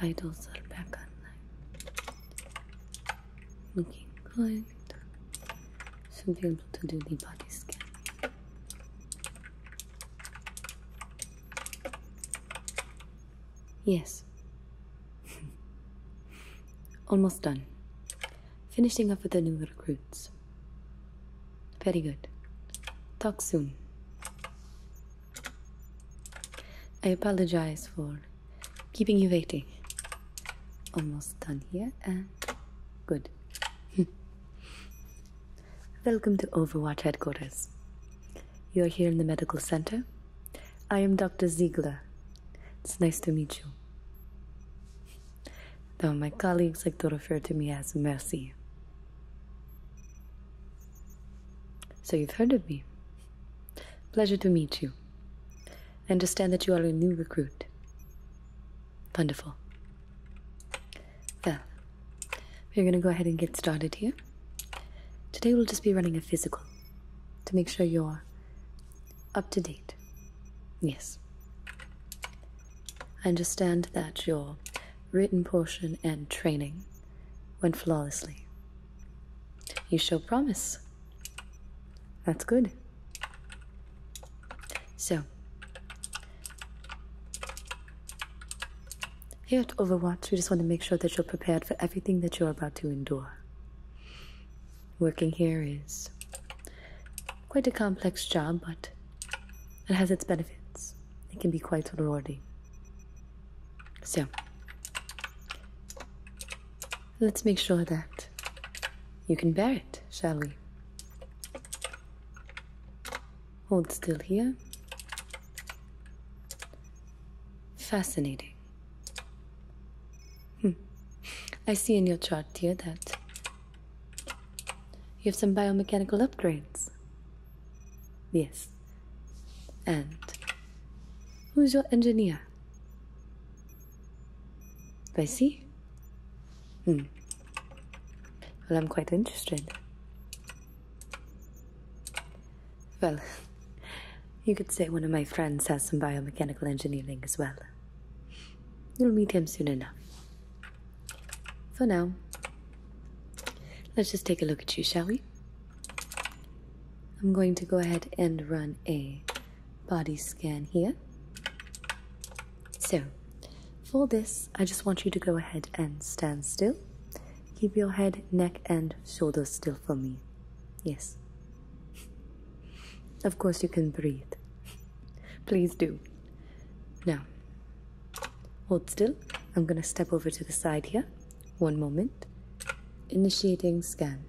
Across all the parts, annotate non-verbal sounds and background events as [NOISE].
Vitals are back online. Looking good. Should be able to do the body scan. Yes. Almost done. Finishing up with the new recruits. Very good. Talk soon. I apologize for keeping you waiting. Almost done here and good. [LAUGHS] Welcome to Overwatch headquarters. You are here in the medical center. I am Dr. Ziegler. It's nice to meet you. Though my colleagues like to refer to me as Mercy. So you've heard of me. Pleasure to meet you. I understand that you are a new recruit. Wonderful. Well, we're going to go ahead and get started here. Today we'll just be running a physical to make sure you're up to date. Yes. I understand that your written portion and training went flawlessly. You show promise. That's good. So, here at Overwatch, we just want to make sure that you're prepared for everything that you're about to endure. Working here is quite a complex job, but it has its benefits. It can be quite rewarding. So, let's make sure that you can bear it, shall we? Hold still here. Fascinating. Hmm. I see in your chart dear, that you have some biomechanical upgrades. Yes. And who's your engineer? Bessie? Hmm. Well, I'm quite interested. Well, you could say one of my friends has some biomechanical engineering as well. You'll meet him soon enough. For now, let's just take a look at you, shall we? I'm going to go ahead and run a body scan here. So, for this, I just want you to go ahead and stand still Keep your head, neck, and shoulders still for me. Yes. Of course, you can breathe. Please do. Now, hold still. I'm gonna step over to the side here. One moment. Initiating scan.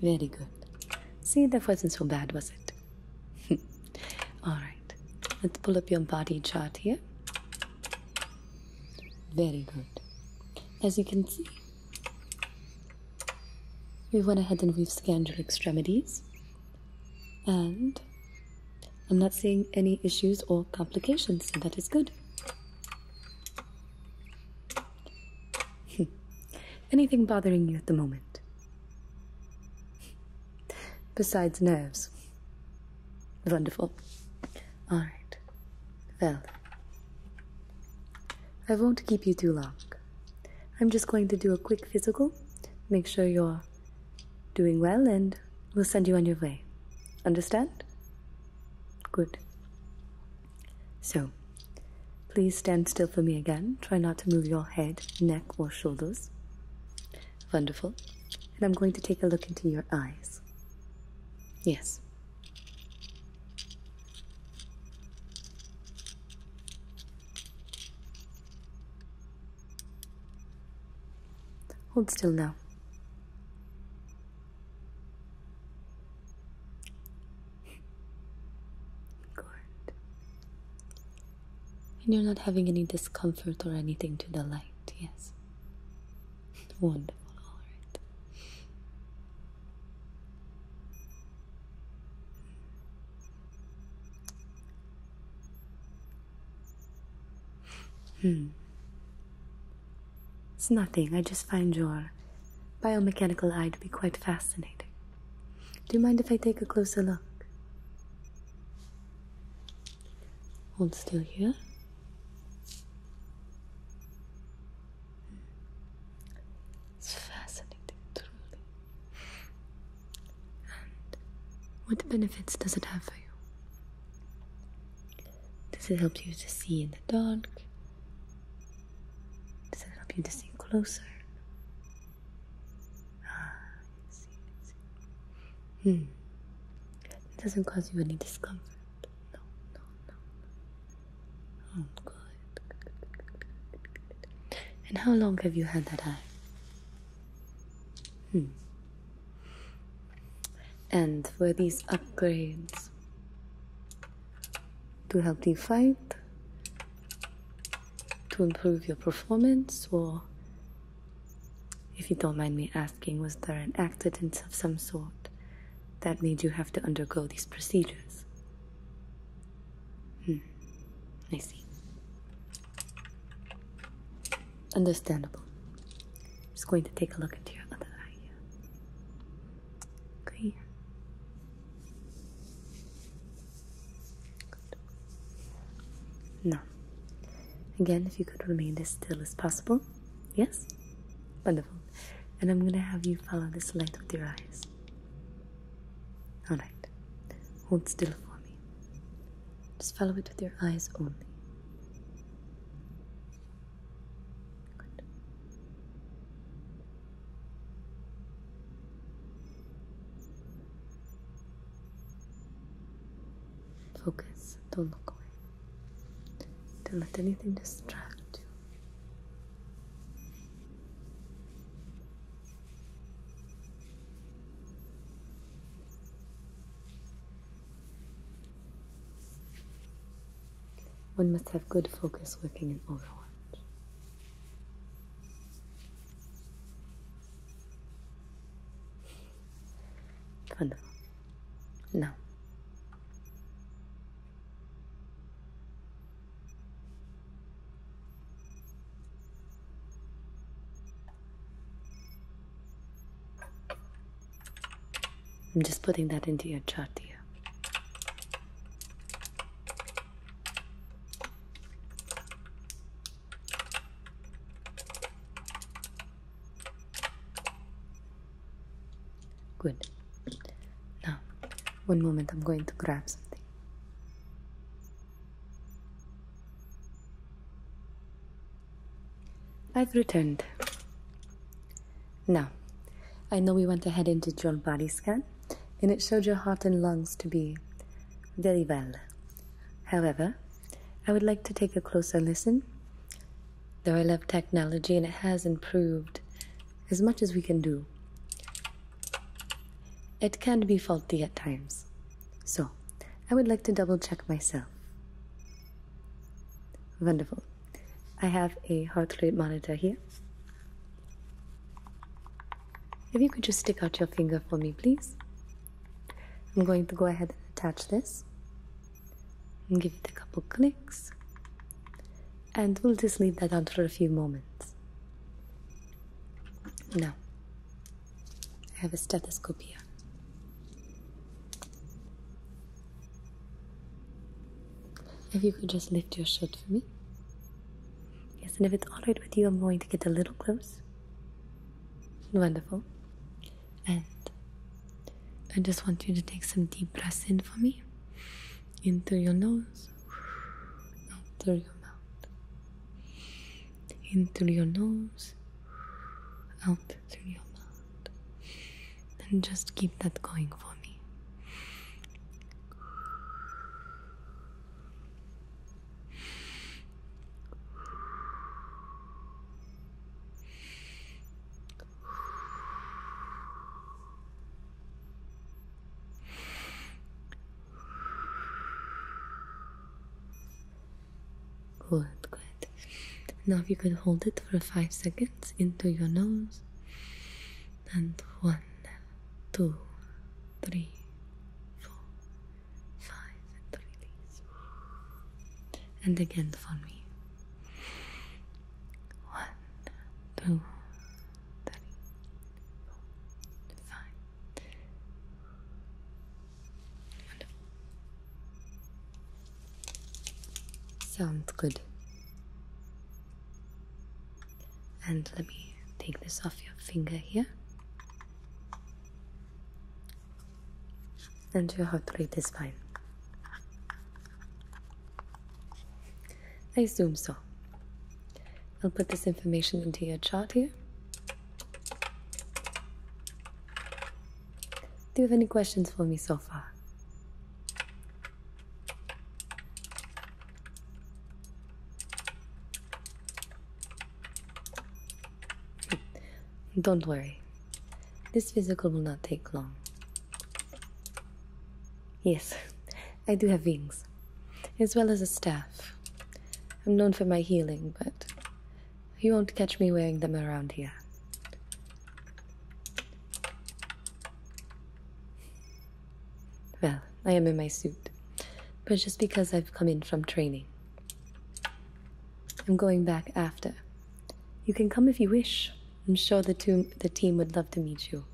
Very good. See, that wasn't so bad, was it? [LAUGHS] Alright, let's pull up your body chart here. Very good. As you can see, we went ahead and we've scanned your extremities, and I'm not seeing any issues or complications, so that is good. [LAUGHS] Anything bothering you at the moment? [LAUGHS] Besides nerves. Wonderful. Alright. Well, I won't keep you too long. I'm just going to do a quick physical, make sure you're doing well, and we'll send you on your way. Understand? Good. So, please stand still for me again. Try not to move your head, neck, or shoulders. Wonderful. And I'm going to take a look into your eyes. Yes. Hold still now. Good. And you're not having any discomfort or anything to the light, yes? Wonderful, alright. Hmm. It's nothing. I just find your biomechanical eye to be quite fascinating. Do you mind if I take a closer look? Hold still here. It's fascinating, truly. And what benefits does it have for you? Does it help you to see in the dark? Does it help you to see closer? Ah, I see, I see. Hmm. It doesn't cause you any discomfort. No, no, no. Oh, good. And how long have you had that eye? Hmm. And were these upgrades to help you fight, to improve your performance, or, if you don't mind me asking, was there an accident of some sort that made you have to undergo these procedures? Hmm. I see. Understandable. I'm just going to take a look into your other eye here. Okay. Good. Now, again, if you could remain as still as possible. Yes? Wonderful. And I'm going to have you follow this light with your eyes. Alright. Hold still for me. Just follow it with your eyes only. Good. Focus, don't look away. Don't let anything distract you. One must have good focus working in Overwatch. Wonderful. Now, I'm just putting that into your chart here. Good. Now, one moment, I'm going to grab something. I've returned. Now, I know we went ahead into did your body scan, and it showed your heart and lungs to be very well. However, I would like to take a closer listen. Though I love technology and it has improved as much as we can do, it can be faulty at times, so I would like to double check myself. Wonderful. I have a heart rate monitor here. If you could just stick out your finger for me, please. I'm going to go ahead and attach this and give it a couple clicks. And we'll just leave that on for a few moments. No. I have a stethoscope here. If you could just lift your shirt for me. Yes, and if it's alright with you, I'm going to get a little close. Wonderful. And I just want you to take some deep breaths in for me. Into your nose out through your mouth, in through your nose, out through your mouth, and just keep that going for me. Good, good. Now, if you could hold it for five seconds into your nose, and one, two, three, four, five, and And again for me. One, two, three, four, five, Sounds good. And let me take this off your finger here. And your heart rate this fine. I assume so. I'll put this information into your chart here. Do you have any questions for me so far? Hmm. Don't worry, this physical will not take long. Yes, [LAUGHS] I do have wings, as well as a staff. I'm known for my healing, but you won't catch me wearing them around here. Well, I am in my suit, but just because I've come in from training. I'm going back after. You can come if you wish. I'm sure the, team would love to meet you.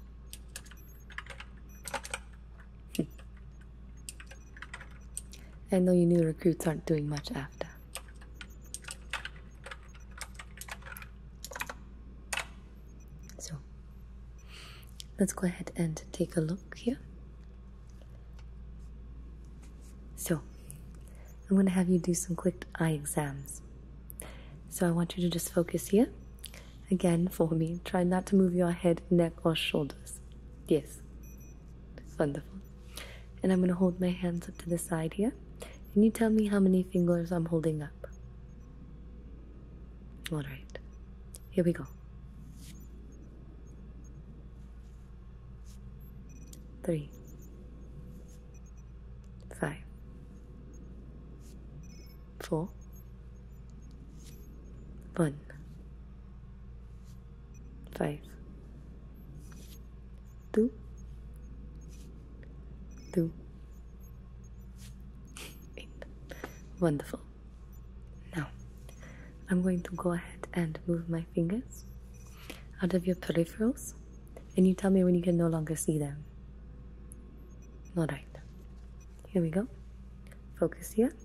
I know you new recruits aren't doing much after. So let's go ahead and take a look here. So I'm going to have you do some quick eye exams. So I want you to just focus here Again for me. Try not to move your head, neck, or shoulders. Yes. Wonderful. And I'm going to hold my hands up to the side here. Can you tell me how many fingers I'm holding up. Alright. Here we go. Three, five, four. One, five, two, two, eight. Wonderful. Now, I'm going to go ahead and move my fingers out of your peripherals, and you tell me when you can no longer see them. Alright, here we go. Focus here.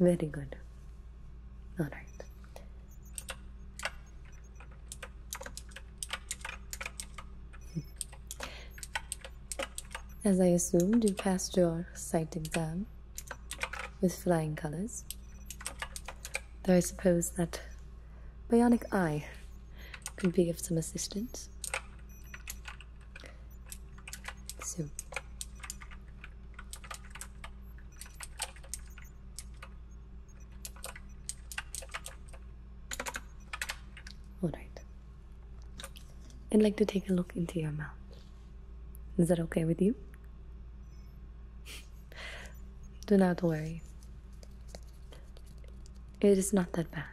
Very good. All right. As I assumed, you passed your sight exam with flying colors. Though I suppose that bionic eye could be of some assistance. So Alright. I'd like to take a look into your mouth. Is that okay with you? [LAUGHS] Do not worry. It is not that bad.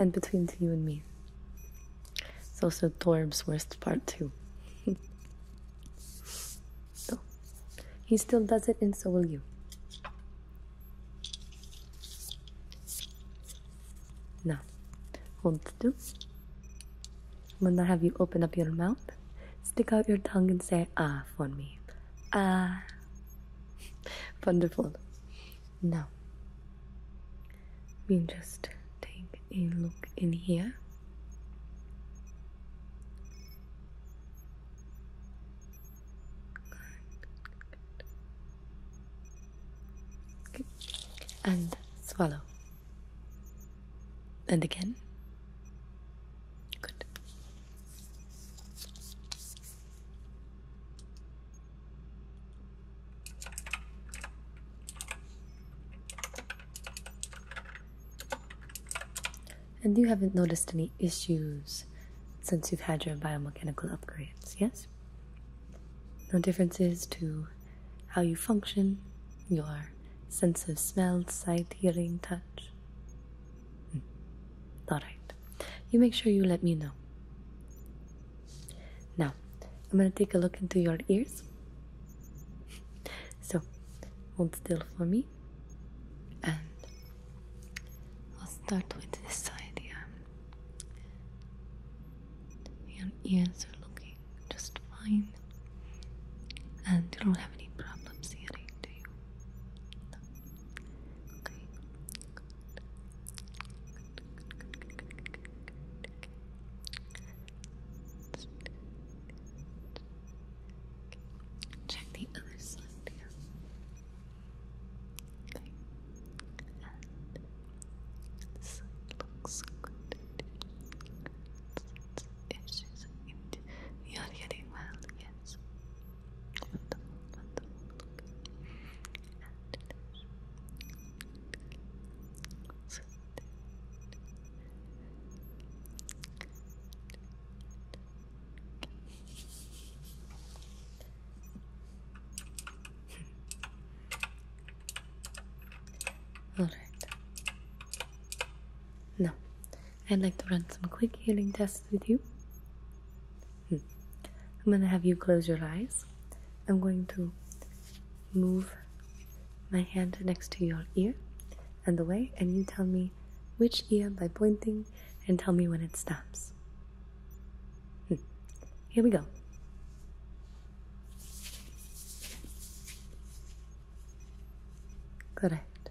And between you and me, it's also Torb's worst part too. [LAUGHS] Oh, he still does it, and so will you. Now, hold still. I'm gonna have you open up your mouth, stick out your tongue, and say ah for me. Ah. [LAUGHS] Wonderful. Now, we just take a look in here. And swallow. And again. Good. And you haven't noticed any issues since you've had your biomechanical upgrades, yes? No differences to how you function, your sense of smell, sight, hearing, touch? Hmm. Alright. You make sure you let me know. Now, I'm gonna take a look into your ears. So, hold still for me, and I'll start with this side Yeah, Your ears are looking just fine, and you don't have any problems hearing, do you? Okay. Check the other side looks good. you're getting well, yes. Alright. Now, I'd like to run some quick healing tests with you. Hmm. I'm going to have you close your eyes. I'm going to move my hand next to your ear and the way, and you tell me which ear by pointing and tell me when it stops. Hmm. Here we go. Correct.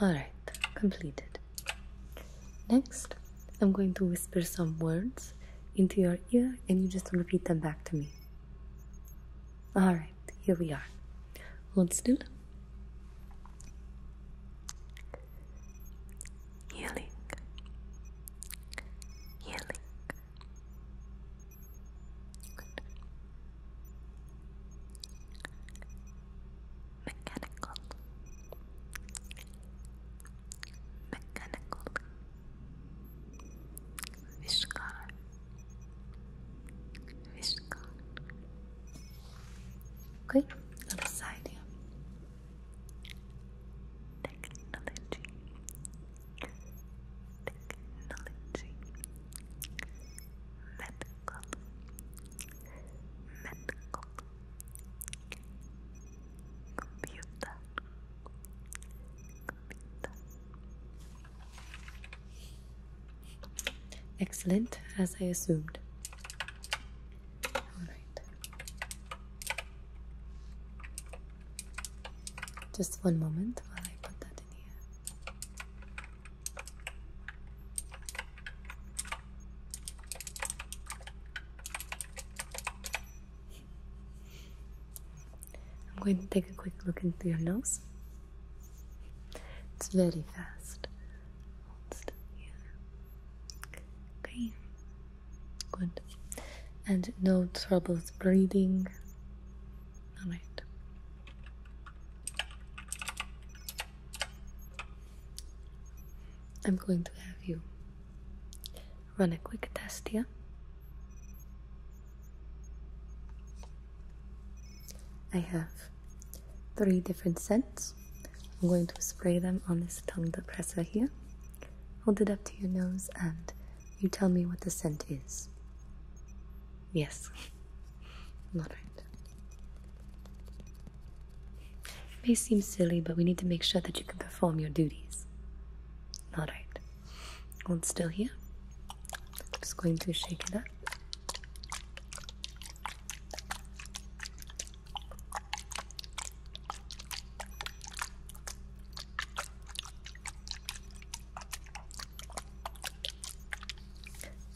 Alright, completed. Next, I'm going to whisper some words into your ear and you just repeat them back to me. Alright, here we are. Hold still. Healing. Healing. Good mechanical mechanical Vishkar Vishkar Okay, other side Technology Technology Method Excellent, as I assumed. All right. Just one moment while I put that in here. I'm going to take a quick look into your nose. It's very fast. Okay. Good. And no troubles breathing. Alright. I'm going to have you run a quick test here. I have three different scents. I'm going to spray them on this tongue depressor here. Hold it up to your nose and you tell me what the scent is. Yes. All right. It may seem silly, but we need to make sure that you can perform your duties. All right. Hold still here. I'm just going to shake it up.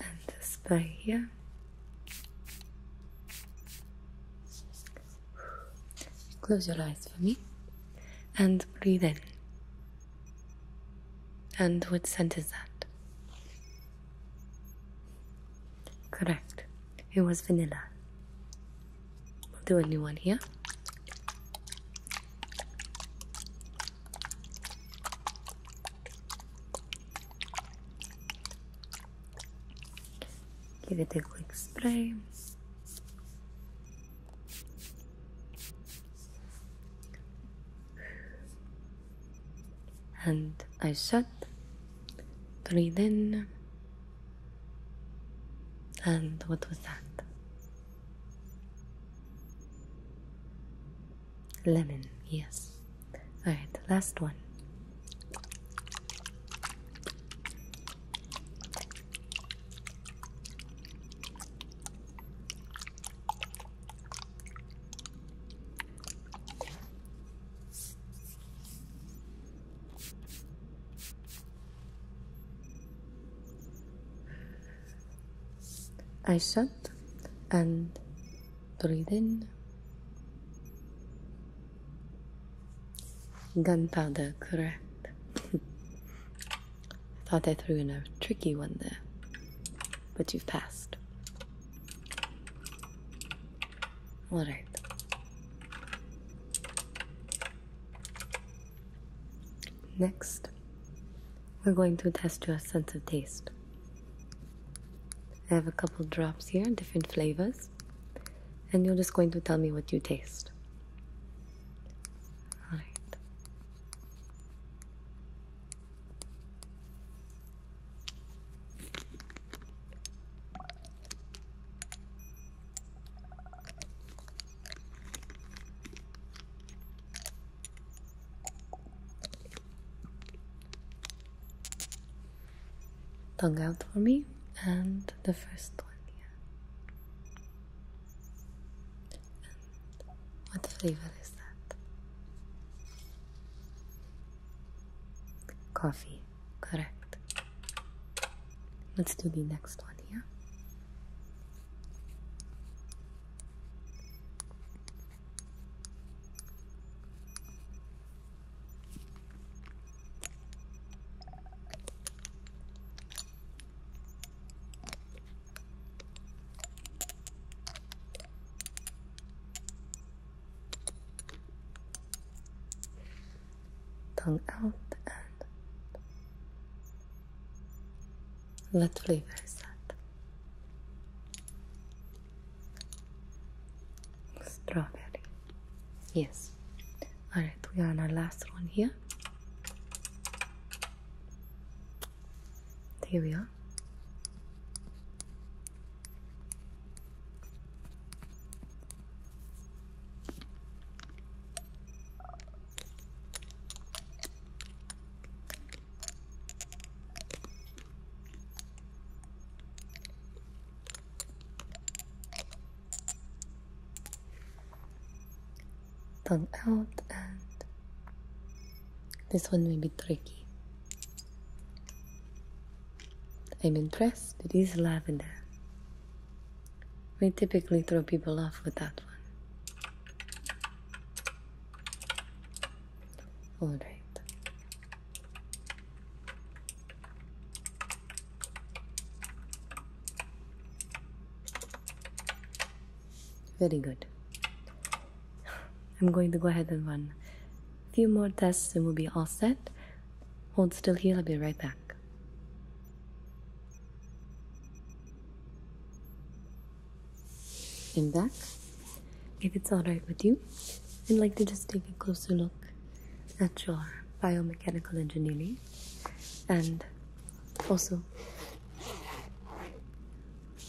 And display here. Close your eyes for me and breathe in. And what scent is that? Correct. It was vanilla. We'll do a new one here. Give it a quick spray. And I shut. Breathe in. And what was that? Lemon, yes. Alright, last one. I shut and breathe in. Gunpowder, correct. [LAUGHS] I thought I threw in a tricky one there, but you've passed. Alright. Next, we're going to test your sense of taste. I have a couple drops here, different flavors, and you're just going to tell me what you taste. All right tongue out for me and the first one here. what flavor is that? Coffee, correct. Let's do the next one here. Tongue out and let flavor that? Strawberry. Yes. Alright, we are on our last one here. Here we are tongue out and this one may be tricky I'm impressed it is lavender we typically throw people off with that one all right. Very good. I'm going to go ahead and run a few more tests and we'll be all set. Hold still here, I'll be right back. In back if it's all right with you i'd like to just take a closer look at your biomechanical engineering and also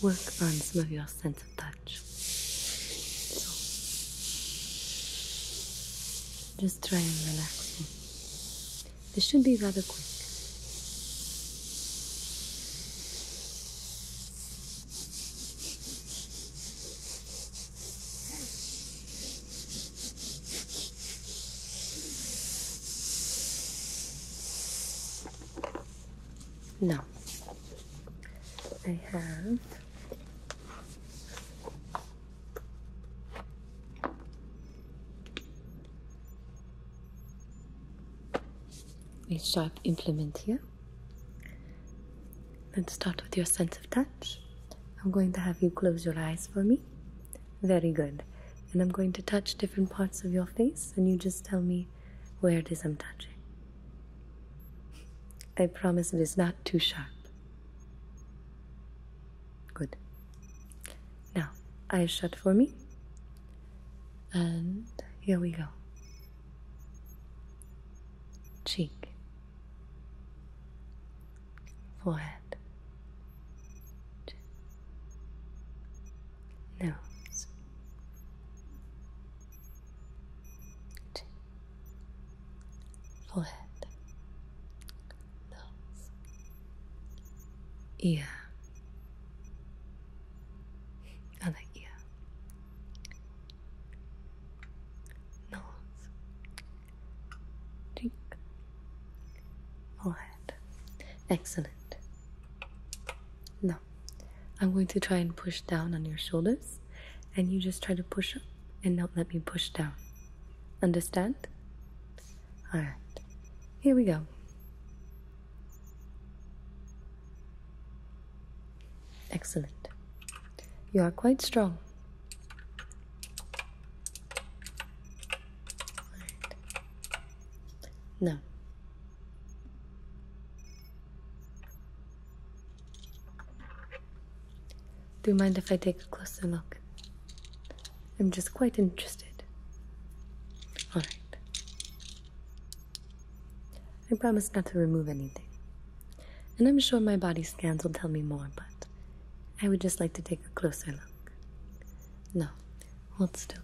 work on some of your sense of touch so just try and relax me this should be rather quick no, I have each type implement here. Let's start with your sense of touch. I'm going to have you close your eyes for me. Very good. And I'm going to touch different parts of your face, and you just tell me where it is I'm touching. I promise it is not too sharp. Good. Now, eyes shut for me. And here we go cheek, forehead, nose, forehead, nose, ear other ear, nose, cheek, Excellent. Now, I'm going to try and push down on your shoulders, and you just try to push up and not let me push down. Understand? Alright, here we go. Excellent. You are quite strong. Right. Now, do you mind if I take a closer look? I'm just quite interested. Alright. I promise not to remove anything. And I'm sure my body scans will tell me more, but I would just like to take a closer look. No, hold still.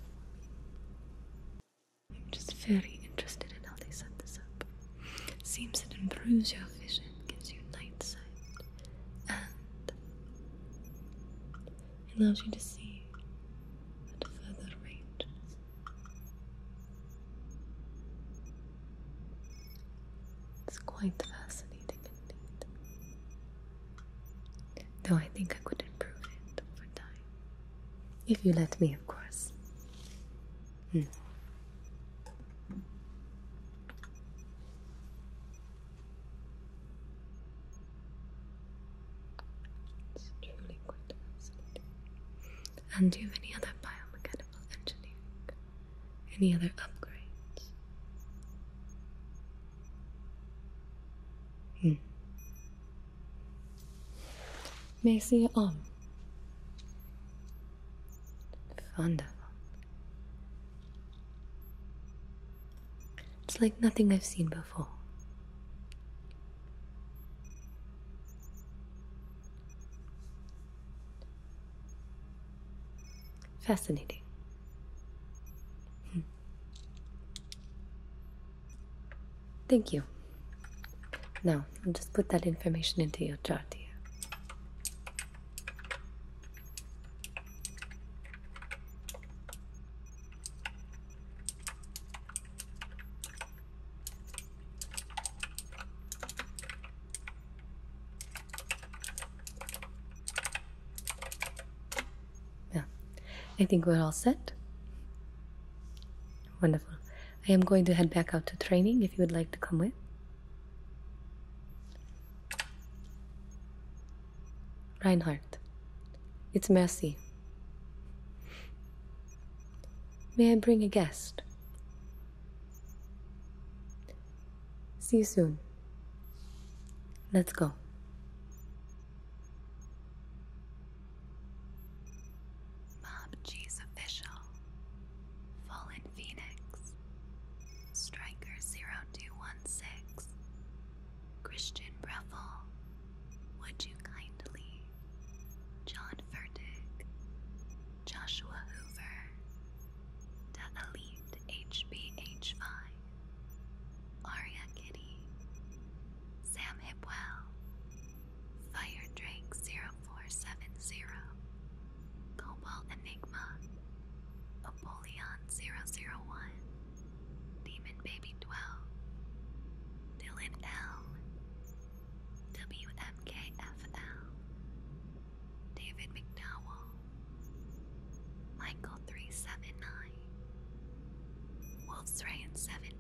I'm just very interested in how they set this up. Seems it improves your vision, gives you night sight, and allows you to see at further range. It's quite fascinating indeed. Though I think I could improve it over time. If you let me, of course. Hmm. And do you have any other biomechanical engineering? Any other upgrades? Hmm. Macy on. Wonderful. It's like nothing I've seen before. Fascinating. Hmm. Thank you. Now, I'll just put that information into your chart here. Yeah, I think we're all set. Wonderful. I am going to head back out to training if you would like to come with. Reinhardt, it's messy. May I bring a guest? See you soon. Let's go. Bob G's official. Fallen Phoenix. Striker 0216. Christian Breffel. Would you kindly, John Furtick, Joshua Hoover, Da HBH5, Aria Kitty, Sam Hipwell, Fire Drake 0470, Cobalt Enigma, Apollyon 001, Demon Baby 12, Dylan L, WMKFL, David McDowell, Michael 379, Wolf's 70,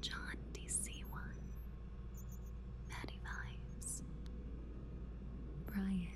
John DC1, Maddie Vibes, Brian.